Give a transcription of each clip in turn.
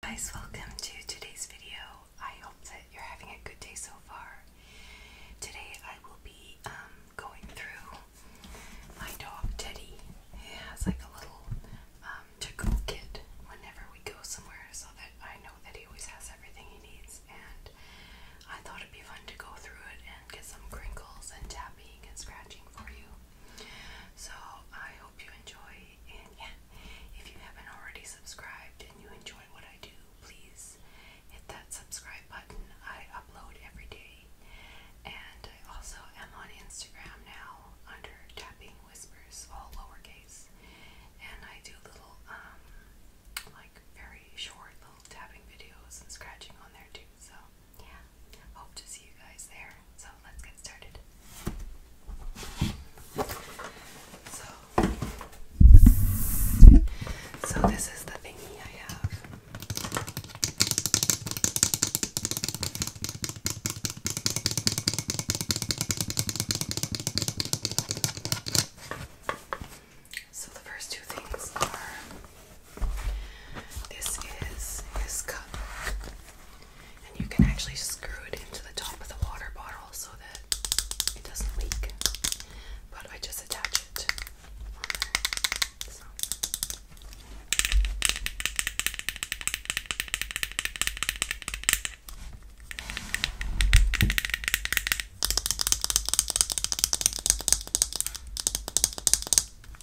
guys, welcome to today's video. I hope that you're having a good day so far. Today I will be um, going through my dog Teddy. He has like a little um, kit whenever we go somewhere so that I know that he always has everything he needs and I thought it'd be fun to go through it and get some crinkles and tapping and scratching for you. So I hope you enjoy yeah, if you haven't already subscribed and you enjoy what I do, please hit that subscribe button. I upload every day. And I also am on Instagram now under Tapping Whispers, all lowercase. And I do little, um, like very short little tapping videos and scratching on there too. So, yeah, hope to see you guys there. So, let's get started. So, so this is the thing I have. So the first two things are this is his cup. And you can actually screw it into the top of the water bottle so that it doesn't leak. But I just attach it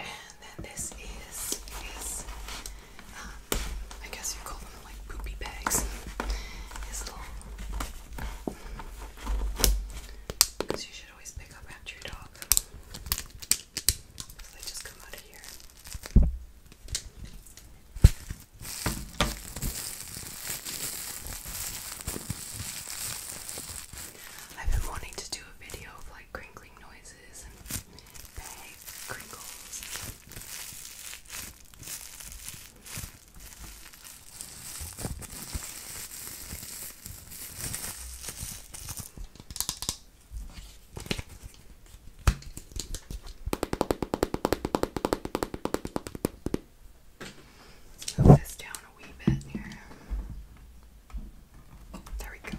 And then this is, is um, I guess you call them like poopy bags. His little, because mm, you should always pick up after your dog. Because they just come out of here. I've been wanting to do a video of like crinkling noises and bag crinkles. Move this down a wee bit here. There we go.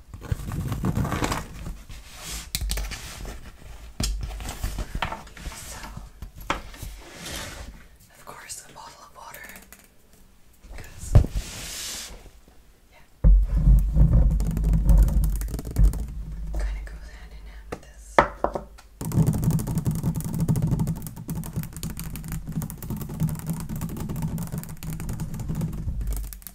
So, of course, a bottle of water. Because, yeah. Kind of goes hand in hand with this.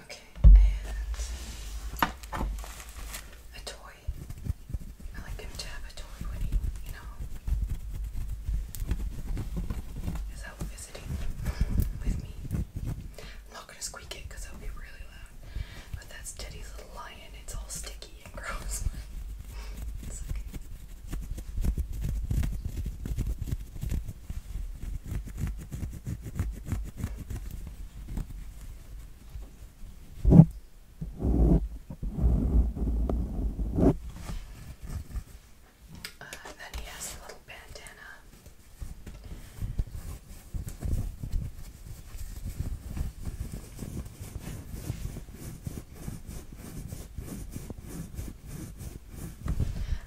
Okay, and a toy. I like him to have a toy when he, you know, is out visiting with me. am not gonna squeak it because that'll be really loud. But that's Teddy's little lion. It's all sticky eating gross, uh, then he has a little bandana.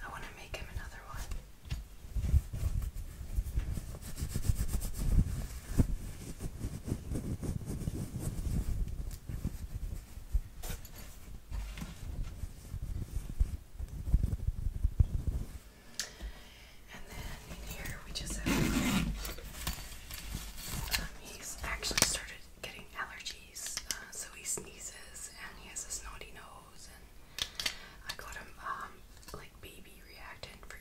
I want to make him another one. And then in here we just have. Um, he's actually started getting allergies, uh, so he sneezes and he has a snotty nose. And I got him um, like baby reactant for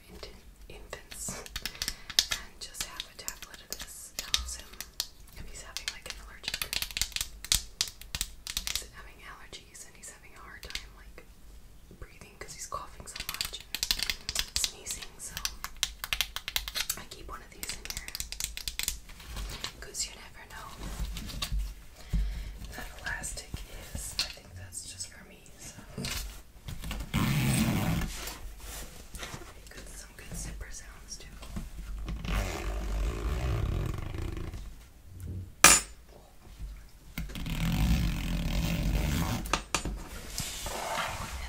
infants, and just have a tablet of this helps him if he's having like an allergic. He's having allergies and he's having a hard time like breathing because he's coughing so much and sneezing. So I keep one of these in here because you never know. That elastic is, I think that's just for me. So good, some good zipper sounds too. And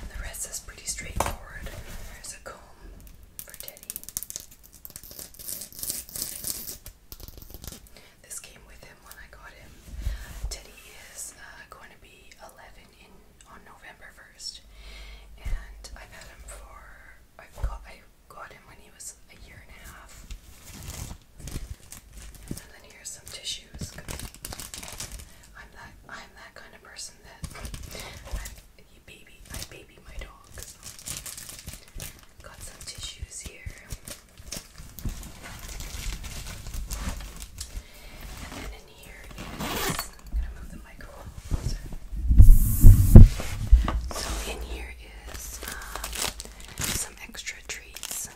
the rest is pretty straightforward. There's a comb for Teddy. This came with him when I got him. Teddy is uh, going to be 11 in on November 1st, and I've had him for i got I got him when he was a year and a half. And then here's some tissues. I'm that I'm that kind of person that I baby I baby my dogs. Got some tissues here. And then in here is I'm gonna move the microphone closer. So in here is um, some extra treats.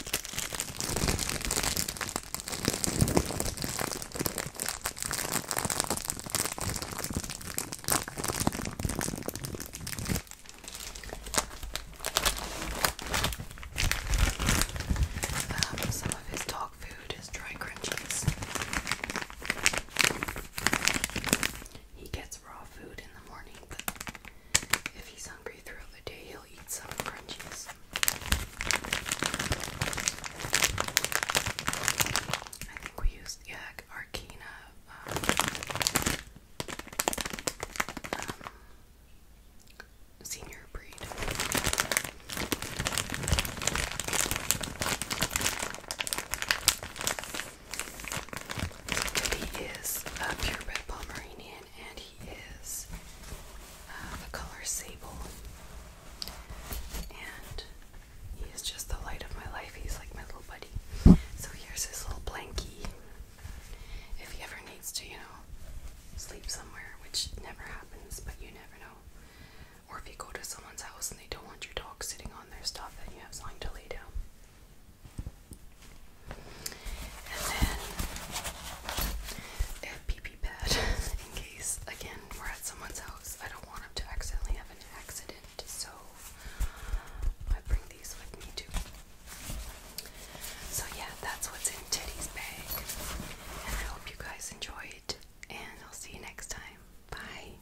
some of his dog food is dry crunchies. He gets raw food in the morning, but if he's hungry throughout the day, he'll eat some crunchies. I think we used, yeah, Arcana. Um, um, senior breed. He is a purebred Pomeranian and he is uh, color sable. And he is just the light of my life. He's like my little buddy. So here's his little blankie. If he ever needs to, you know, sleep somewhere, which never happens, but you never know. Or if you go to someone's house and they don't want your dog sitting on their stuff, then you have something to lay down. And then a PP pad in case, again, we're at someone's house. I don't want him to accidentally have an accident, so I bring these with me too. So, yeah, that's what's in Teddy's bag. And I hope you guys enjoyed, and I'll see you next time. Bye.